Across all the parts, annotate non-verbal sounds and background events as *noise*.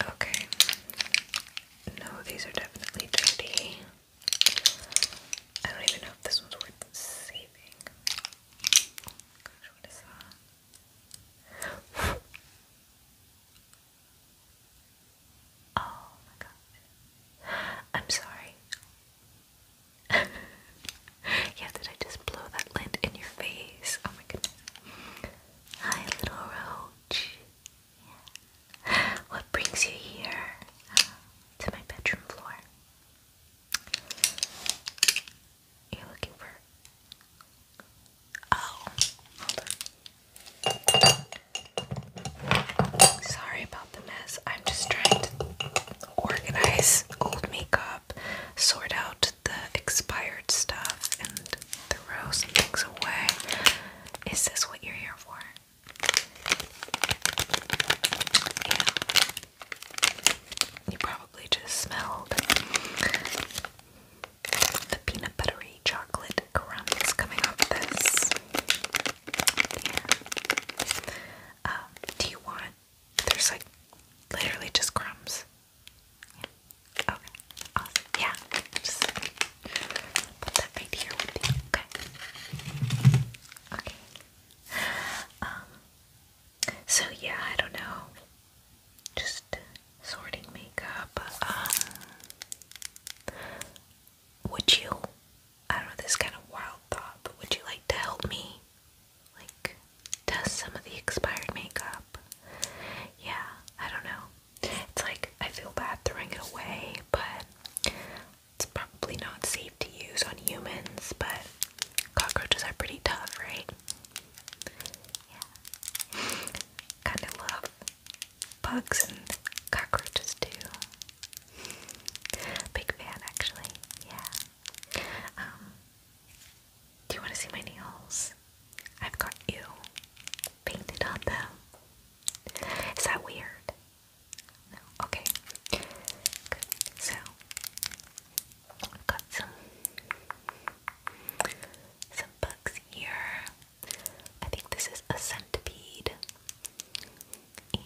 Okay. No, these are definitely dirty. I don't even know if this one's worth saving. *laughs* oh my god. I'm sorry. *laughs* yeah, did I just blow that lint in your face? Oh my goodness. Hi, little roach. What brings you here uh, to my bedroom floor? You're looking for. Oh, Sorry about the mess. I'm just trying to organize old makeup, sort out the expired stuff, and throw some things away. Is this what you're here for? You probably just smelled the peanut buttery chocolate crumbs coming off this. Um, do you want? There's like literally just crumbs. Okay. Yeah. put that right here with you. Okay. Okay. Um. So yeah, I don't know. Just sorting makeup. Um, would you? I don't know. This kind of wild thought, but would you like to help me? Like, test some of the expired makeup. Yeah, I don't know. It's like I feel bad throwing it away, but it's probably not safe to use on humans, but cockroaches are pretty tough, right? Yeah. kind of love bugs and cockroaches too. Big fan actually, yeah. Um, do you want to see my nails? I've got you painted on them. Is that weird? No. Okay. So I've got some some bugs here. I think this is a centipede. And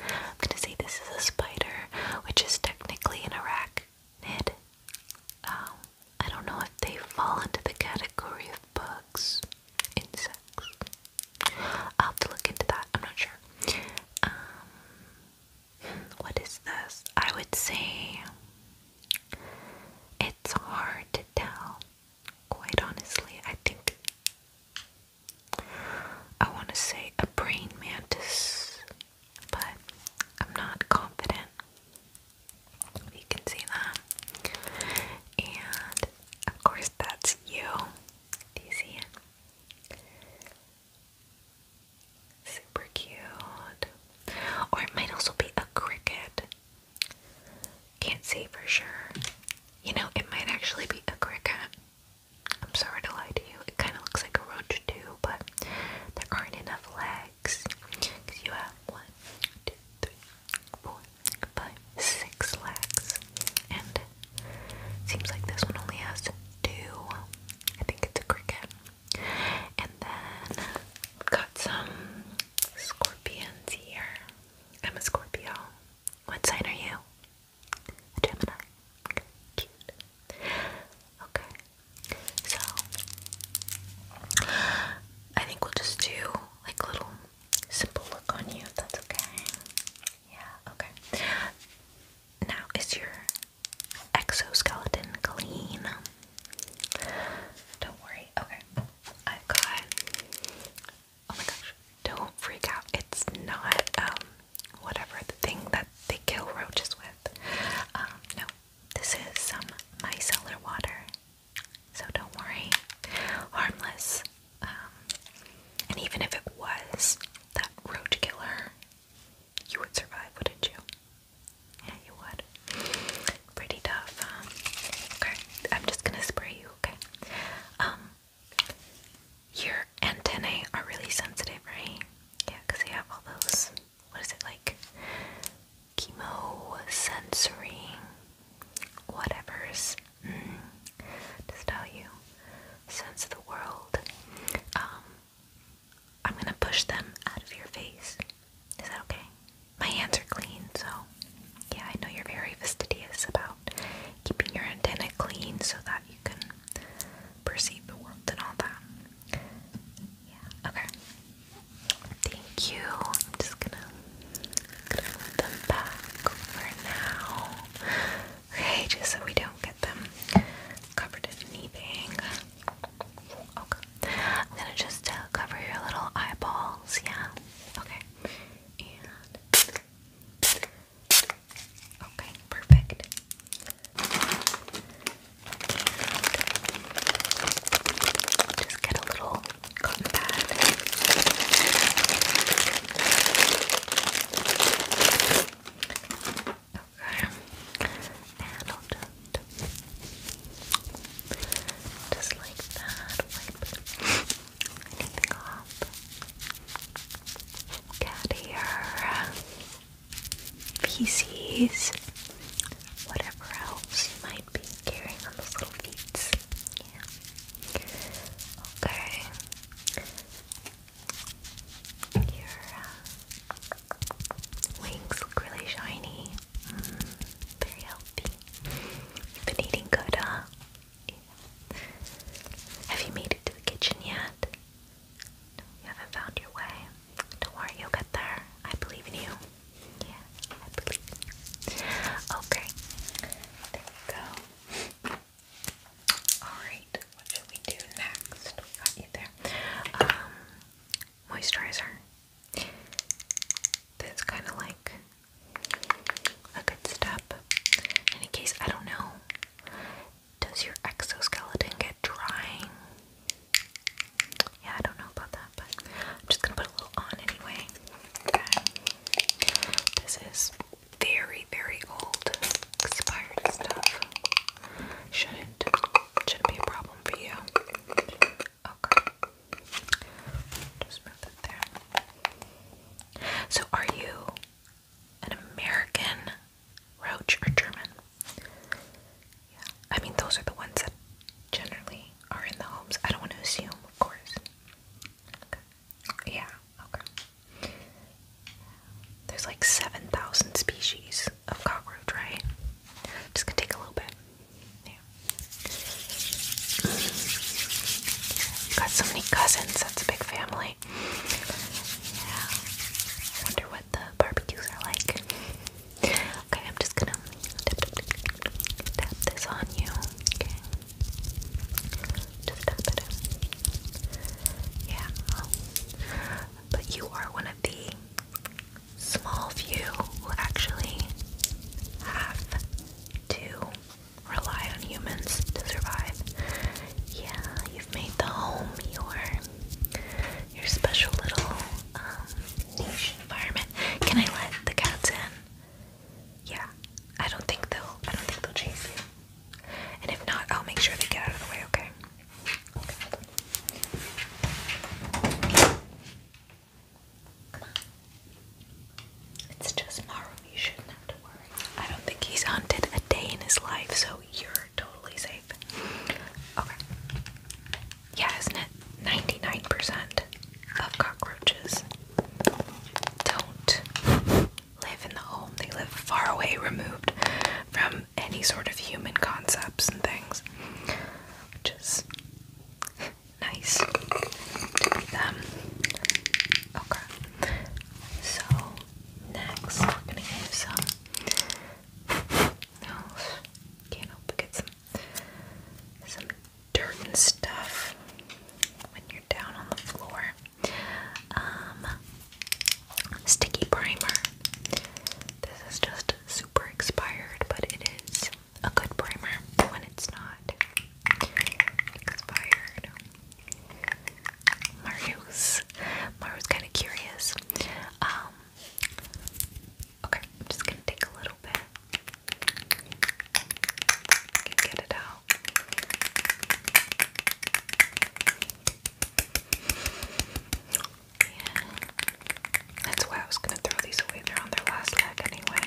I'm gonna say this is a spider, which is technically an arachnid. Um, I don't know if they fall into the category of bugs, insects. i have to look into that. I'm not sure. Um, what is this? I would say it's hard to tell. Quite honestly, I think I want to say a brain mantis, but I'm not confident. You can see that, And of course, that's you. Do you see it? Super cute. Or it might also be a cricket. Can't say for sure. You know, it might actually be a cricket. I'm sorry to lie to you. It kind of looks like a roach, too, but there aren't enough legs. Because you have one, two, three, four, five, six lakhs. And seems like this one only has two. I think it's a cricket. And then got some scorpions here. I'm a Scorpio. What sign are you? Gemini. Cute. Okay. So I think we'll just do like a little simple look on you that's okay. Yeah, okay. Now is your exoskeleton clean? Don't worry. Okay. I've got Oh my gosh. Don't freak out. It's not um whatever the thing that they kill roaches with. Um no. This is some micellar water. So don't worry, harmless. Um, and even if it was that road killer, you would survive, wouldn't you? Yeah, you would. Pretty tough. okay, I'm just gonna spray you. Okay. Um, your antennae are really sensitive, right? Yeah, they have all those what is it like? Chemo sensory whatever's mm, just you sense the world. Um I'm gonna push them out of your face. Is that okay? My hands are clean, so yeah, I know you're very fastidious about keeping your antenna clean so that you can perceive the world and all that. Yeah, okay. Thank you. I'm just gonna, put them back for now. Okay, just so we don't get them covered in anything. Okay. I'm gonna just uh, cover your little eyeballs, yeah? Okay. Okay, perfect. just get a little cotton pad. Okay. And I'll just, just like that, wipe anything off. Cat hair, feces, whatever else be carrying on those little feet. Yeah. Okay. Your uh, wings look really shiny. Mm, very healthy. You've been eating good, Have you made it to the kitchen yet? you haven't found your way. Don't worry, you'll get there. I believe in you. Yeah, I believe Okay, there we go. Alright, what should we do next? We got you there. Um, moisturizer. That's kind of like a good step. In case, I don't know. Does your exoskeleton get drying? Yeah, I don't know about that, but I'm just gonna put a little on anyway. Okay. This is very, very old, expired stuff. Shouldn't shouldn't be a problem for you. Okay. Just move that there. So are you an American roach or German? Yeah. I mean, those are the ones that generally are in the homes. I don't want to assume, of course. Okay. Yeah, okay. There's like 7,000 species of cockroach, right? Just gonna take a little bit. Yeah. You've Got so many cousins, that's a big family. Yeah. I wonder what the barbecues are like. Okay, I'm just gonna tap, this on you. Okay, just tap it. Yeah, but you are one of the small few who actually have to rely on humans to survive. Yeah, you've made the home your your special little um, ish environment. Can I let the cats in? Yeah. I don't think they'll I don't think they'll chase you. And if not, I'll make sure they get out of the way, okay? It's just Maru, you shouldn't have to worry. I don't think he's hunted a day in his life, so you're totally safe. Okay yeah, isn't it? 99% of cockroaches don't live in the home. They live far away, removed from any sort of human concepts and things, which is nice Okay, so next we're gonna give some. No, can't help but get some some dirt and stuff when you're down on the floor. Um, sticky primer. This is just super expired, but it is a good primer when it's not expired. Mario's Mario's kind of curious. Um, Okay, just gonna take a little bit. get it out. Yeah. That's why I was gonna throw these away. They're on their last leg anyway.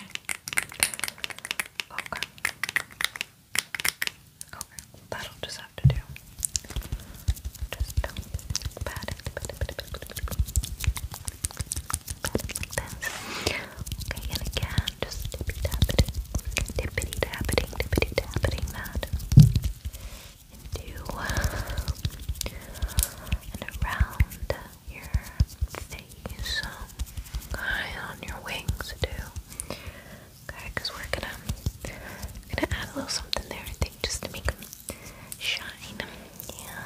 Okay. Okay, that'll just have to do. Just pat it, pat it, Okay, and again, just tippy tapping, tippity tapping, tippity tapping that into and around your face, okay, on your wings too. Okay, we're gonna gonna add a little something there, I think, just to make them shine. Yeah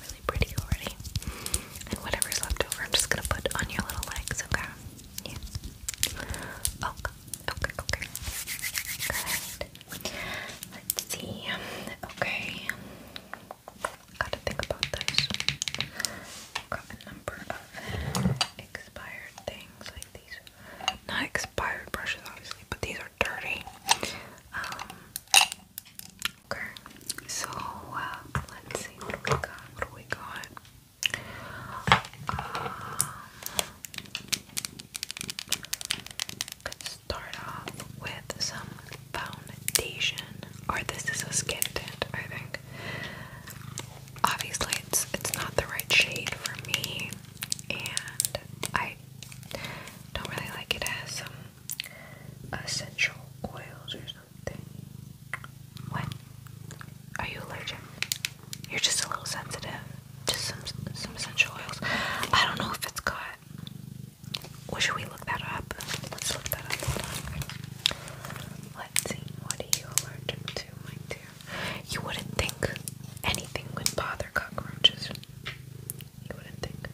really pretty already. And whatever's left over, I'm just gonna put on your little legs, okay? Yeah. Okay, okay, okay. Good. Let's see. Okay. Gotta think about this. Got a number of expired things like these. Not expired brushes, obviously, but these are dirty. Um, Okay, so uh, let's see what we got. What do we got? Um, let's start off with some foundation. Or this is a skin tint, I think. Obviously, it's it's not the right shade for me, and I don't really like it. It essential oils or something. What? Are you allergic? You're just a little sensitive. to some some essential oils. I don't know if it's got. Well, should we look that up? Let's look that up. Let's see. What are you allergic to, my dear? You wouldn't think anything would bother cockroaches. You wouldn't think.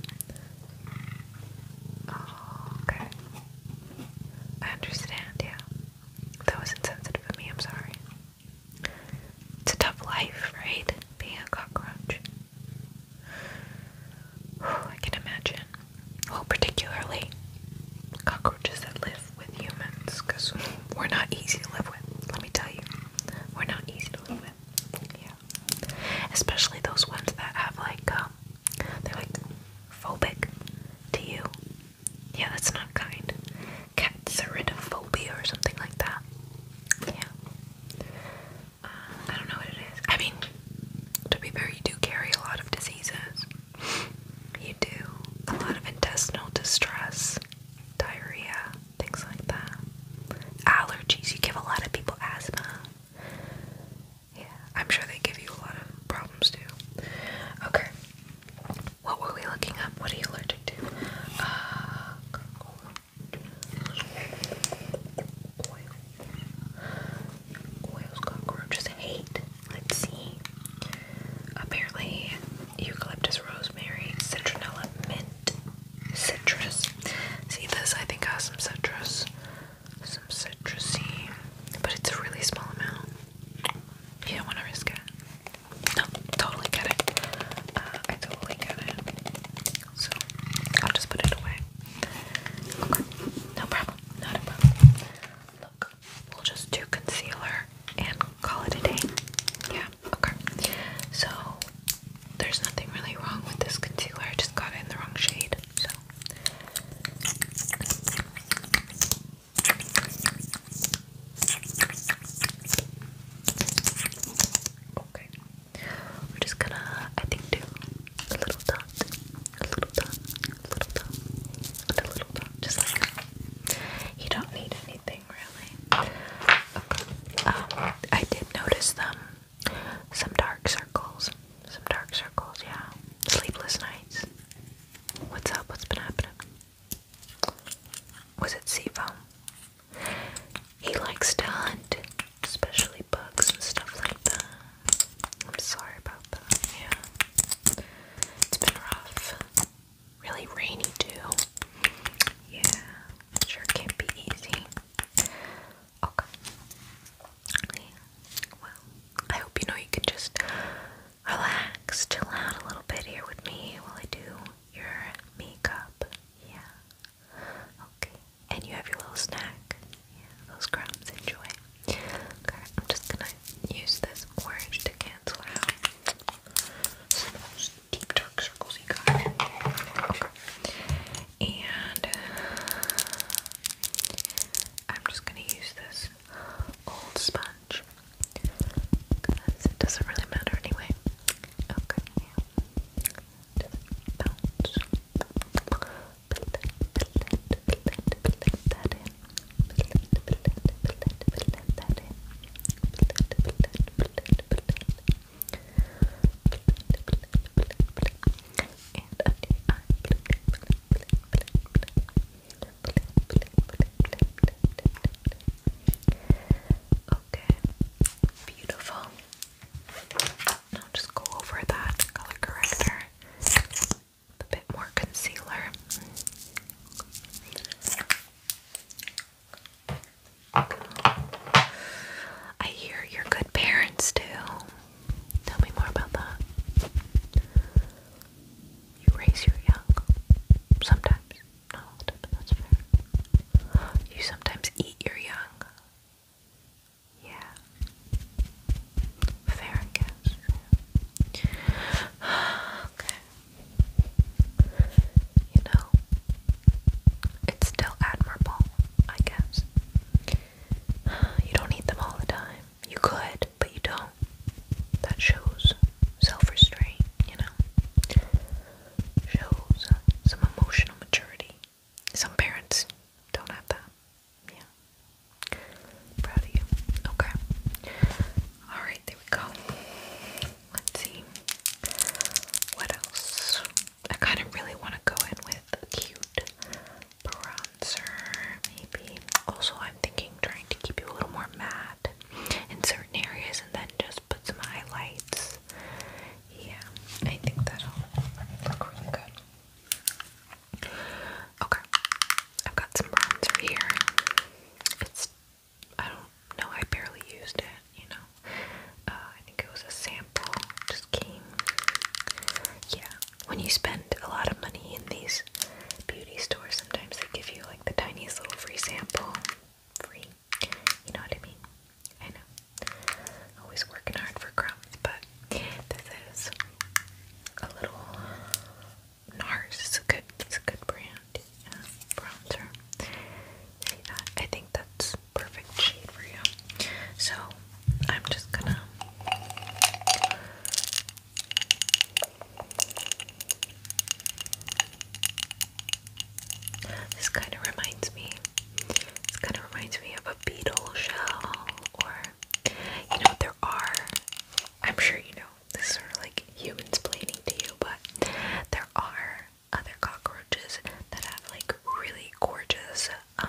Oh, okay. I understand, yeah. That was insensitive of me, I'm sorry. It's a tough life, right? Being a cockroach. I can imagine. Well, particularly cockroaches that live with humans, because we're not easy to live with, let me tell you. We're not easy to live with. Yeah. Especially those ones that have like, um, they're like phobic to you. Yeah, that's not kind. Cats are phobia or something like that. Yeah. Uh, I don't know what it is. I mean, to be fair, you do carry a lot of diseases. You do a lot of intestinal distress, diarrhea, things like that. Allergies. You give a lot of people asthma. Yeah, I'm sure they give you a lot of problems too. Okay, what were we looking up? What are you allergic to? Uh, cockroaches, hate. Let's see. Apparently, eucalyptus, rosemary, citronella, mint, citrus. See this? I think I some citrus some citrusy, but it's a really small amount. You don't want to risk it. No, totally get it. Uh, I totally get it. So I'll just put it away. Okay, no problem. Not a problem. Look, we'll just do concealer and call it a day. Yeah. Okay. So there's nothing really wrong with this concealer. I just got it in the wrong shade. Okay. We're just gonna I think do a little dot, a little dot, a little dot, a little dot, just like You don't need anything really. Um I did notice them some dark circles. Some dark circles, yeah. Sleepless nights. What's up? What's been happening? Was it Seafoam? He likes to hunt, especially bugs and stuff like that. I'm sorry about that, yeah. It's been rough. Really rainy, too. Yeah, sure can't be easy. Okay. Well, I hope you know you can just relax, chill out a little bit here with me while I do your makeup. Yeah. Okay. And you have your little snack. Yeah, those crumbs. Enjoy. Okay, I'm just gonna use this orange to cancel out those deep dark circles you got and I'm just gonna use this old sponge because it doesn't really matter anyway. Okay, Okay, beautiful. Now just go over that color corrector a bit more concealer. I hear your good parents do. Tell me more about that. You raise your young. Sometimes. Not all but that's fair. You sometimes eat your young. Yeah. Fair, guess. *sighs* okay. You know, it's still admirable, I guess. You don't need them all the time. You could, but you don't. That shows self restraint, you know? Shows some emotional maturity. Some parents don't have that. Yeah. Proud of you. Okay. Alright, there we go. Let's see. What else? I kind of really want to go in with a cute bronzer, maybe. Also, I'm thinking trying to keep you a little more matte in certain areas and then just put some highlights. Yeah, I think that'll look really good. Okay, I've got some bronzer here. It's, I don't know, I barely used it, you know. Uh, I think it was a sample, just came. Yeah, when you spend a lot of money in these beauty stores, sometimes they give you like the tiniest little free sample. Free, you know what I mean? I know. Always working hard for crumbs, but this is a little NARS. It's a good, it's a good brand yeah, bronzer. See that? I think that's perfect shade for you. So I'm just gonna this kind of reminds me this kind of reminds me of a beetle shell or you know there are I'm sure you know this is sort of like humans playing to you but there are other cockroaches that have like really gorgeous um,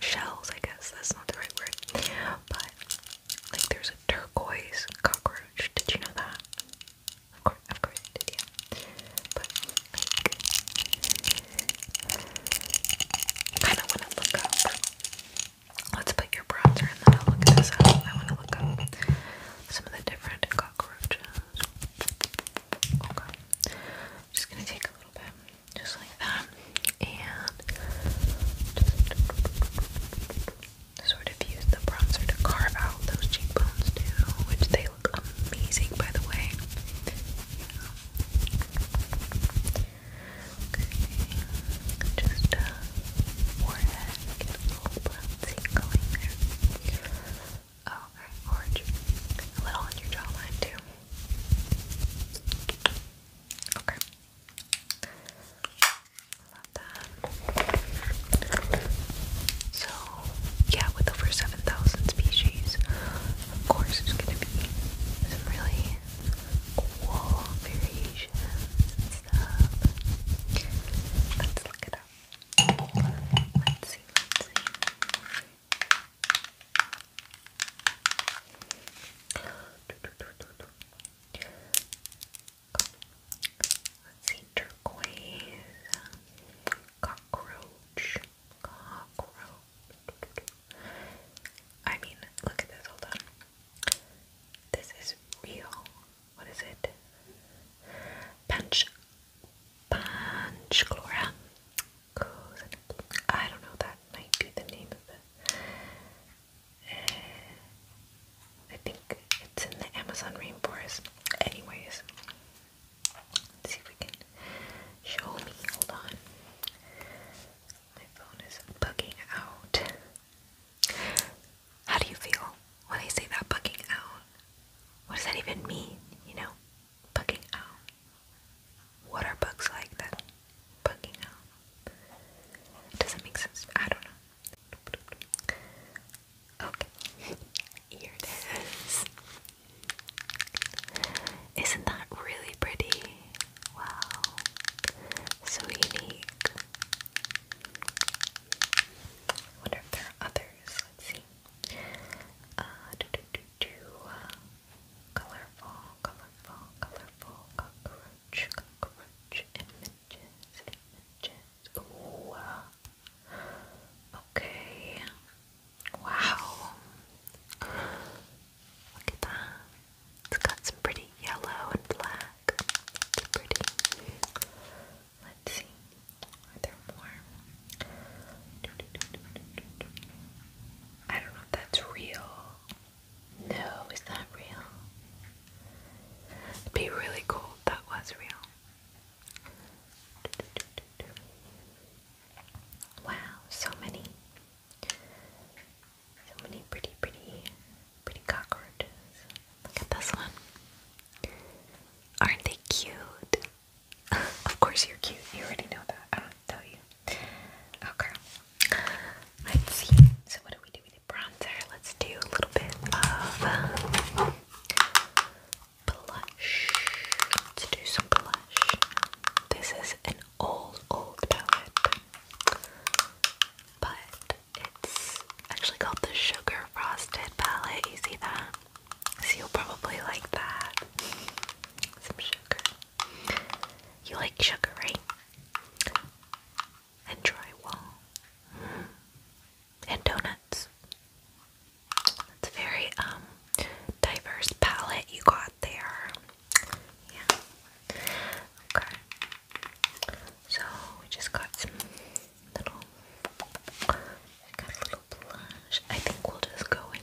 shells, I guess that's not the right word, but like there's a turquoise cockroach. Did you know that? Of course, of course did, yeah. But like, want to look up. Let's put your browser and then I'll look I want to look up some of the different cockroaches. Okay. I'm just gonna take a little bit just like that, and sort of use the bronzer to carve out those cheekbones too, which they look amazing by the way. just uh, forehead, little bronzing going there orange, a little on your jawline too. Okay. Love that. So, yeah, with over 7,000 species, of course, there's going to be some really cool variations Let's look it up. Let's see, let's see. Let's cockroach, cockroach. I mean, look at this, hold on. This is real. What is it? Punch, punch, Gloria. I don't know, that might be the name of it. Eh, I think it's in the Amazon rainforest. Anyways, see if we can show me. Hold on. My phone is bugging out. How do you feel when I say that bugging out? What does that even mean? You know? Bugging out. What are bugs like that? Bugging out. It doesn't make sense. I don't know. Okay. *laughs* Here it is. Isn't that really pretty? Wow. So Wonder if there are others. Let's see. Uh, do, do, do, do. Colorful, colorful, colorful cockroach, cockroach images, images. Ooh. Uh, okay. Wow. Look at that. It's got some pretty yellow and black. pretty. Let's see. Are there more? I don't know if that's real. No, it's not real. It'd be really cool if that was real. Wow, so many. So many pretty, pretty, pretty cockroaches. Look at this one. Aren't they cute? of course you're cute. You already know that. I don't to tell you. Okay. Oh, Let's see. So what do we do with the bronzer? Let's do a little bit of blush. Let's do some blush. This is an old, old palette. But it's actually called the Sugar Frosted palette. You see that? So you'll probably like that. Some sugar. You like sugar, right? And drywall. Mm. And donuts. It's a very um diverse palette you got there. Yeah. Okay. So we just got some little, got a little blush. I think we'll just go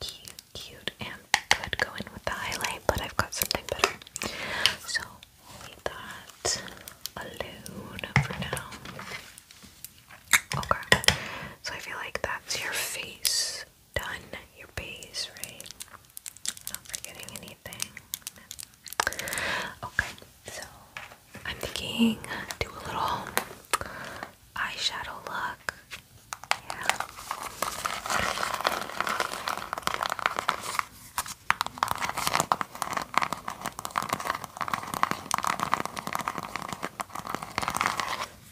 cute, cute, and could go in with the highlight, but I've got something better. So we'll leave that for now. Okay, so I feel like that's your face done, your base, right? Not forgetting anything. Okay, so I'm thinking do a little eyeshadow look. Yeah.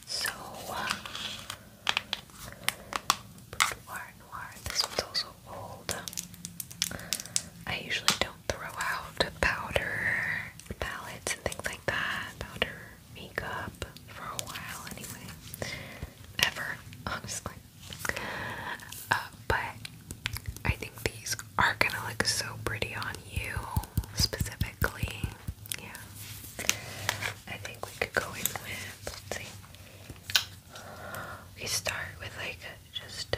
So, uh, noir, noir. This one's also old. I usually don't throw out powder palettes and things like that. Powder makeup for a while, anyway. Ever, honestly. *laughs* Uh, but I think these are gonna look so pretty on you, specifically. Yeah. I think we could go in with, let's see. We start with like just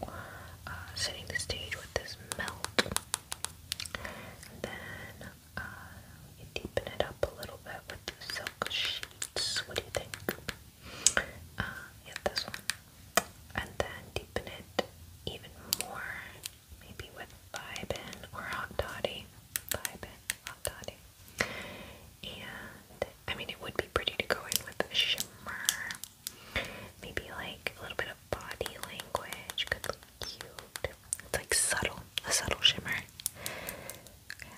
uh, uh, setting the stage with this melt. And then uh, deepen it up a little bit with the silk sheets. What do you think? Uh, yeah, this one. And then deepen it even more, maybe with Vibin or Hot Toddy. Vibin, Hot Toddy. And I mean, it would be pretty to go in with a shimmer. Maybe like a little bit of body language cute. It's like subtle, a subtle shimmer. Okay.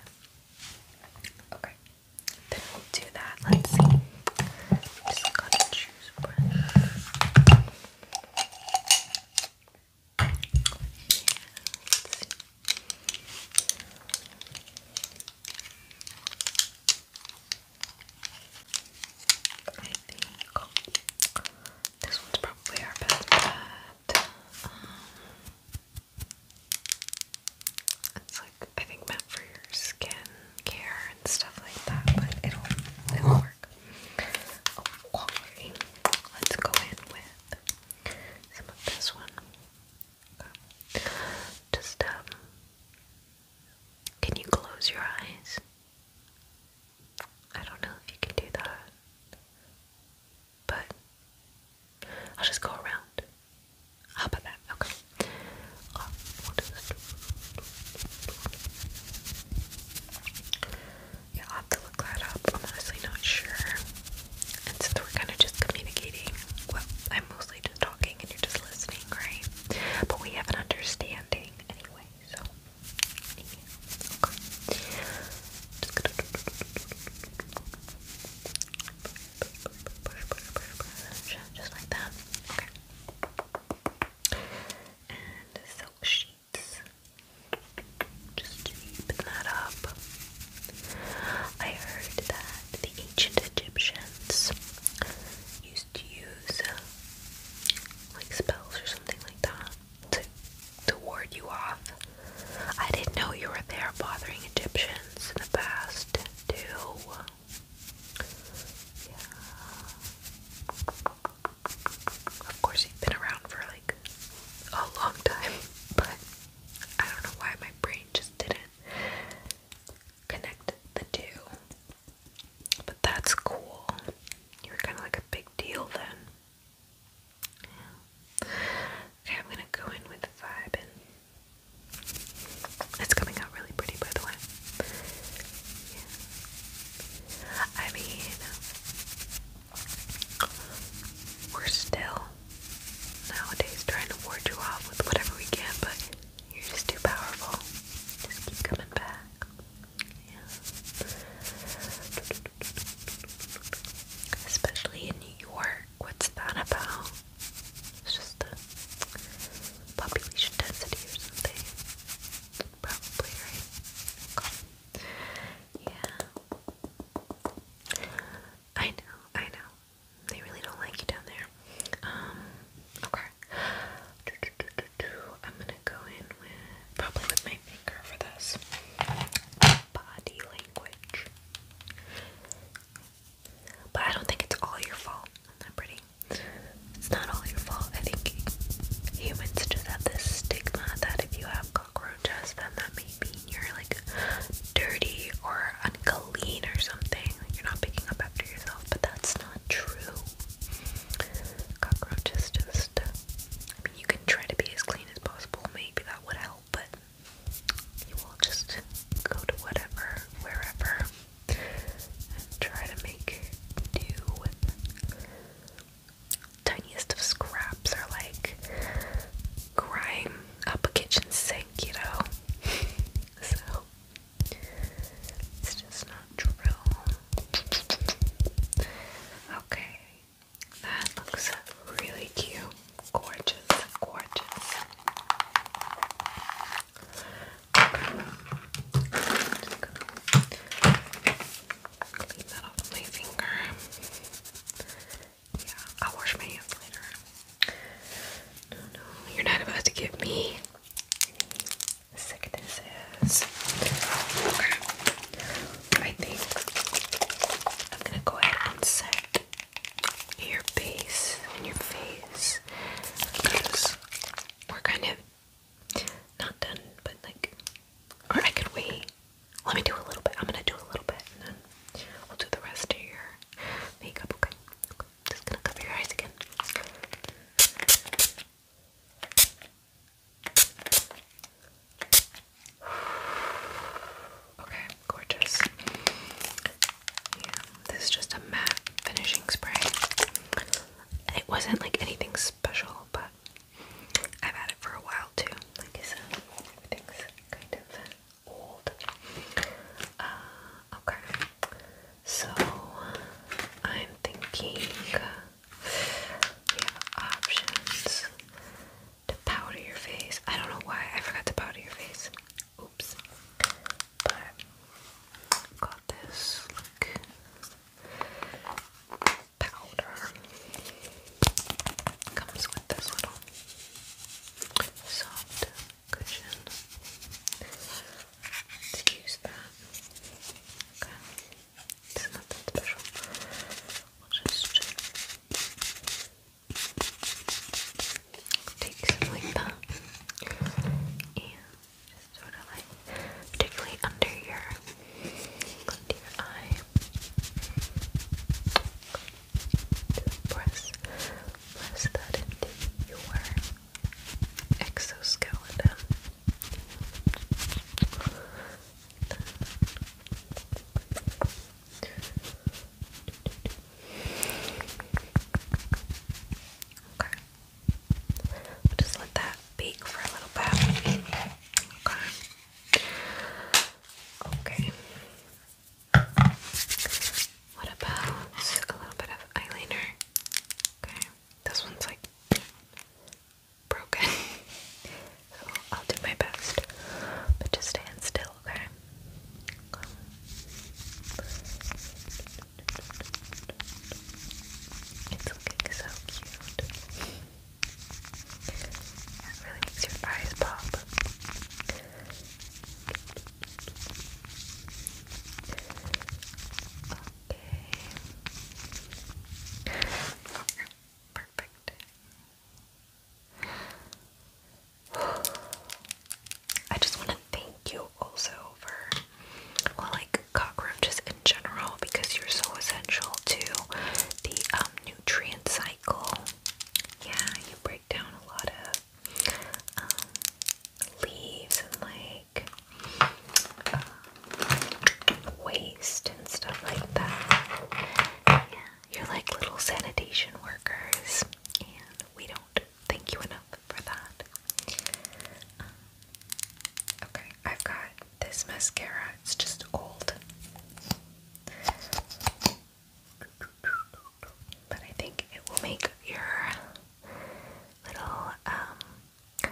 okay. Then we'll do that. Let's see. let's see. I think this one's probably our best bet. Um, it's like I think meant for your skin care and stuff like that, but it'll work. Oh, Let's go in with some of this one. Just um, can you close your eyes? I don't know if you can do that, but I'll just go around. How about that? Okay. Uh, we'll do yeah, I'll have to look that up. I'm honestly not sure. And since we're kind of just communicating, well, I'm mostly just talking and you're just listening, right? But we have an understanding anyway. So, Okay. Just like that. Okay. And silk sheets. Just deepen that up. I heard that the ancient Egyptians used to use uh, like spells or something like that to, to ward you off. I didn't know you were there bothering Egyptians in the past, too. Yeah. Of course, you've been around for like a long time, *laughs* but I don't know why my brain just didn't connect the two. But that's cool. You were kind of like a big deal then. Okay, I'm gonna go in with vibin'. It's coming out really pretty, by the way. I mean, we're still nowadays trying to ward you off with whatever we can, but you're just too powerful. Just keep coming back. Yeah. Especially in New York. What's that about? It's just the population density or something. Probably, right? Yeah. I know, I know. They really don't like you down there. Um, okay. I'm gonna go in with probably with my finger for this body language. But I don't think it's all your fault. not pretty. It's not all your fault. I think humans just have this stigma that if you have cockroaches, then that may mean you're like dirty or unclean or something. you're not picking up after yourself, but that's not true. Cockroaches just uh, I mean, you can try to be as clean as possible, maybe that would help, but you will just go to whatever, wherever, and try to make do tiniest of scraps or like grime up a kitchen sink, you know? *laughs* so, it's just not true. Okay, that looks really cute. Gorgeous, gorgeous. clean that off my finger. Yeah, I'll wash my hands later. No, no, you're not about to give me sickness Okay. I think I'm gonna go ahead and set your base and your face because we're kind of not done, but like, or I could wait. Let me do a little bit. I'm gonna do a little bit and then we'll do the rest of your makeup, okay? okay. Just gonna cover your eyes again. Okay, gorgeous. this is just a matte finishing spray. It wasn't like anything special, but I've had it for a while too. Like I said, everything's kind of old. Uh, okay, so I'm thinking. We have options to powder your face. I don't know why I forgot to powder your face. Oops. But got this like powder. Comes with this little soft cushion. let that. Okay. It's not that special. We'll just take some like that. And just sort of like, particularly under your, under your eye. press, press that into your exoskeleton. Okay. we just let that bake for a little bit. Okay. Okay. What about a little bit of eyeliner? Okay. This one's like broken. *laughs* so I'll do my best. But just stand still, okay? It's looking so cute. It really makes your eyes pop. Okay. Perfect. I just want to thank you also for, well, like cockroaches in general, because you're so essential to the um, nutrient cycle. Yeah, you break down a lot of um, leaves and like waste and stuff like that. Yeah, you're like little sanitation workers, and we don't thank you enough for that. Um, okay, I've got this mascara, it's just old. But I think it will make your little um,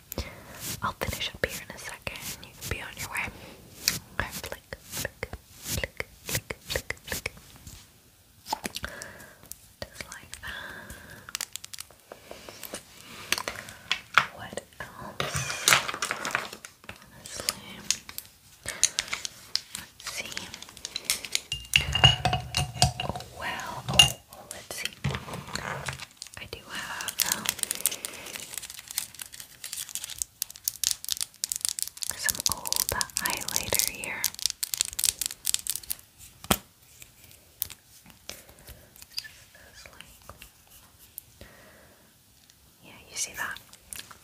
I'll finish up here in a second. You can be on your way. Just like that. What else? let's see. Oh well. Oh, oh, let's see. I do have um, some old highlighter here. yeah, you see that?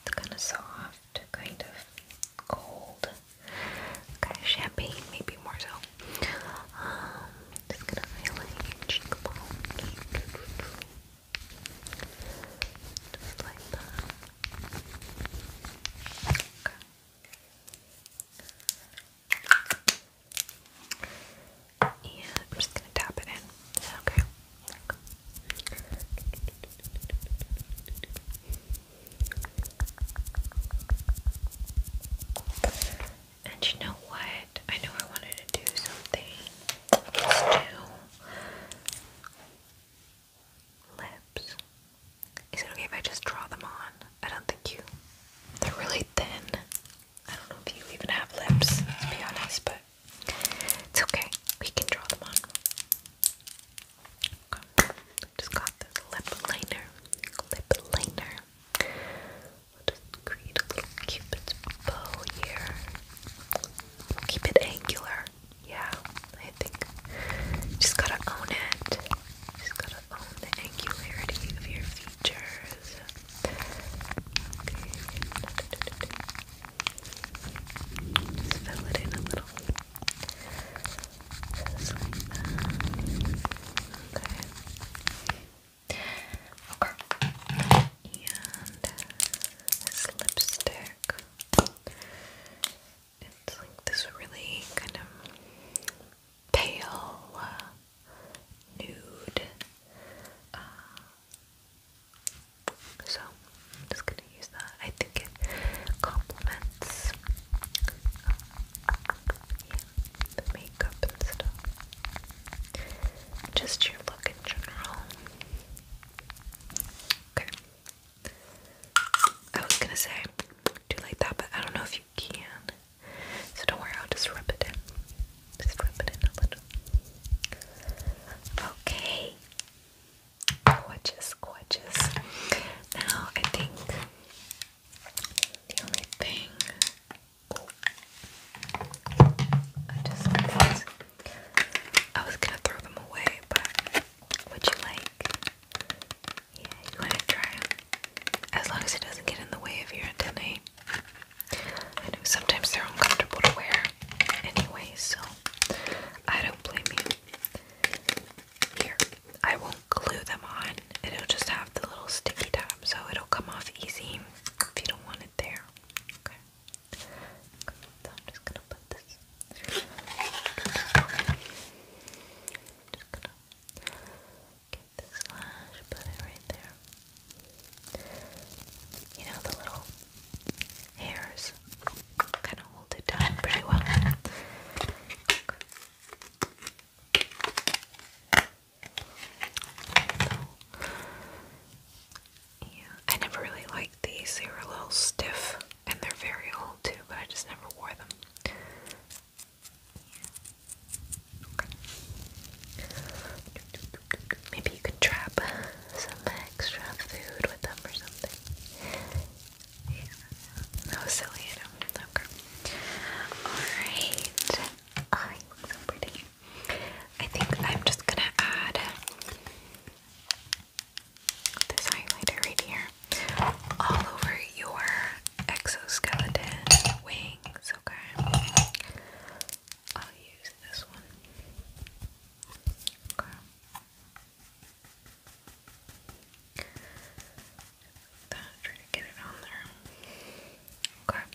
It's kind of soft, kind of cold, kind of champagne, maybe more so. Um, just gonna highlight your cheekbones. Just like that. Okay. And I'm just gonna tap it in. okay. And you know what? I know I wanted to do something. let lips. Is it okay if I just draw them on? I don't think you. They're really thin. I don't know if you even have lips, to be honest, but it's okay. We can draw them on. Just got this lip liner. Lip liner. I'll just create a little cupid's bow here. keep it angular. Yeah, I think. Just gotta own it. Just gotta own the angularity of your features. Okay. Just fill it in a little. Okay. Okay. And this lipstick. It's like this really kind of pale uh, nude. Uh, so I'm just gonna use that. I think it complements um, just your look in general. Okay. I was gonna say, do like that, but I don't know if you can. So don't worry, I'll just rub it in. Just rub it in a little. Okay. Gorgeous, gorgeous. Now I think the only thing I was gonna throw them away, but would you like? Yeah, you wanna try As long as it doesn't get in the way of your antennae. I know sometimes they're uncomfortable to wear anyway, so I don't blame you. Here, I won't glue them on, it'll just have the little sticky tab, so it'll come off easy if you don't want it there. Okay. so I'm just gonna put this. Just gonna get this lash, put it right there. You know the little hairs kind of hold it down pretty well yeah, I never really liked these. They were a little stiff, and they're very old too, but I just never wore them. Maybe you could trap some extra food with them or something. Yeah, that silly, I know. Alright. I look so pretty. I think I'm just gonna add this highlighter right here all over your exoskeleton wings, okay? I'll use this one. Okay. Okay.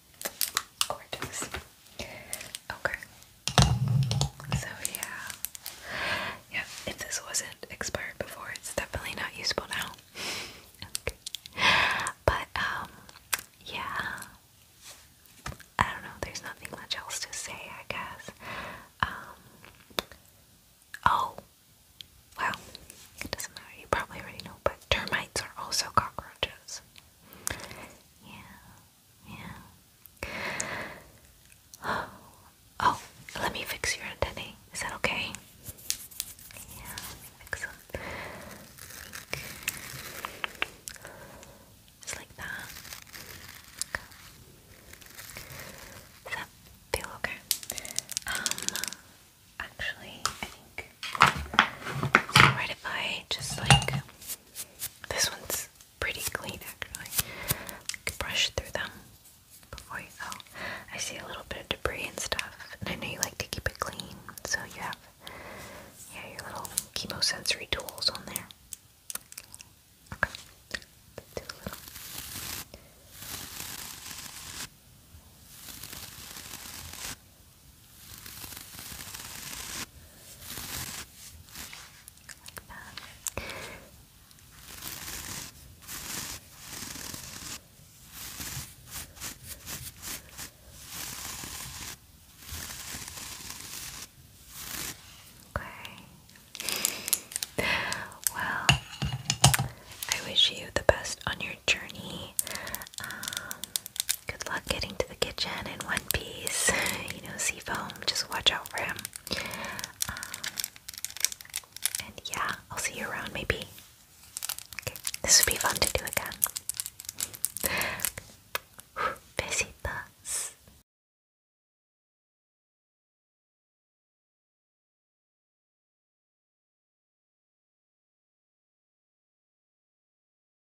Gorgeous. Okay. So yeah. Yeah, if this wasn't expired before, it's definitely not usable now. But um yeah. I don't know, there's nothing much else to say, I guess. Um Oh. Well, it doesn't matter. You probably already know, but termites are also cockroaches. Yeah. Yeah. Oh, let me fix your antennae. Is that okay? Yeah, let me fix them. Just like that. that feel okay? Um, actually, I think. It's alright just like. This one's pretty clean actually. Like, brush through them before you go. I see a little bit of debris and stuff, and I know you like to keep it clean, so you have yeah, your little chemosensory tools on there. Okay. Do a little. Okay. Well, I wish you the best on your journey. Um, Good luck getting to the kitchen in one piece. *laughs* you know, foam. just watch out for him. Um, and yeah, I'll see you around maybe. this would be fun to do again. Besitas. *laughs*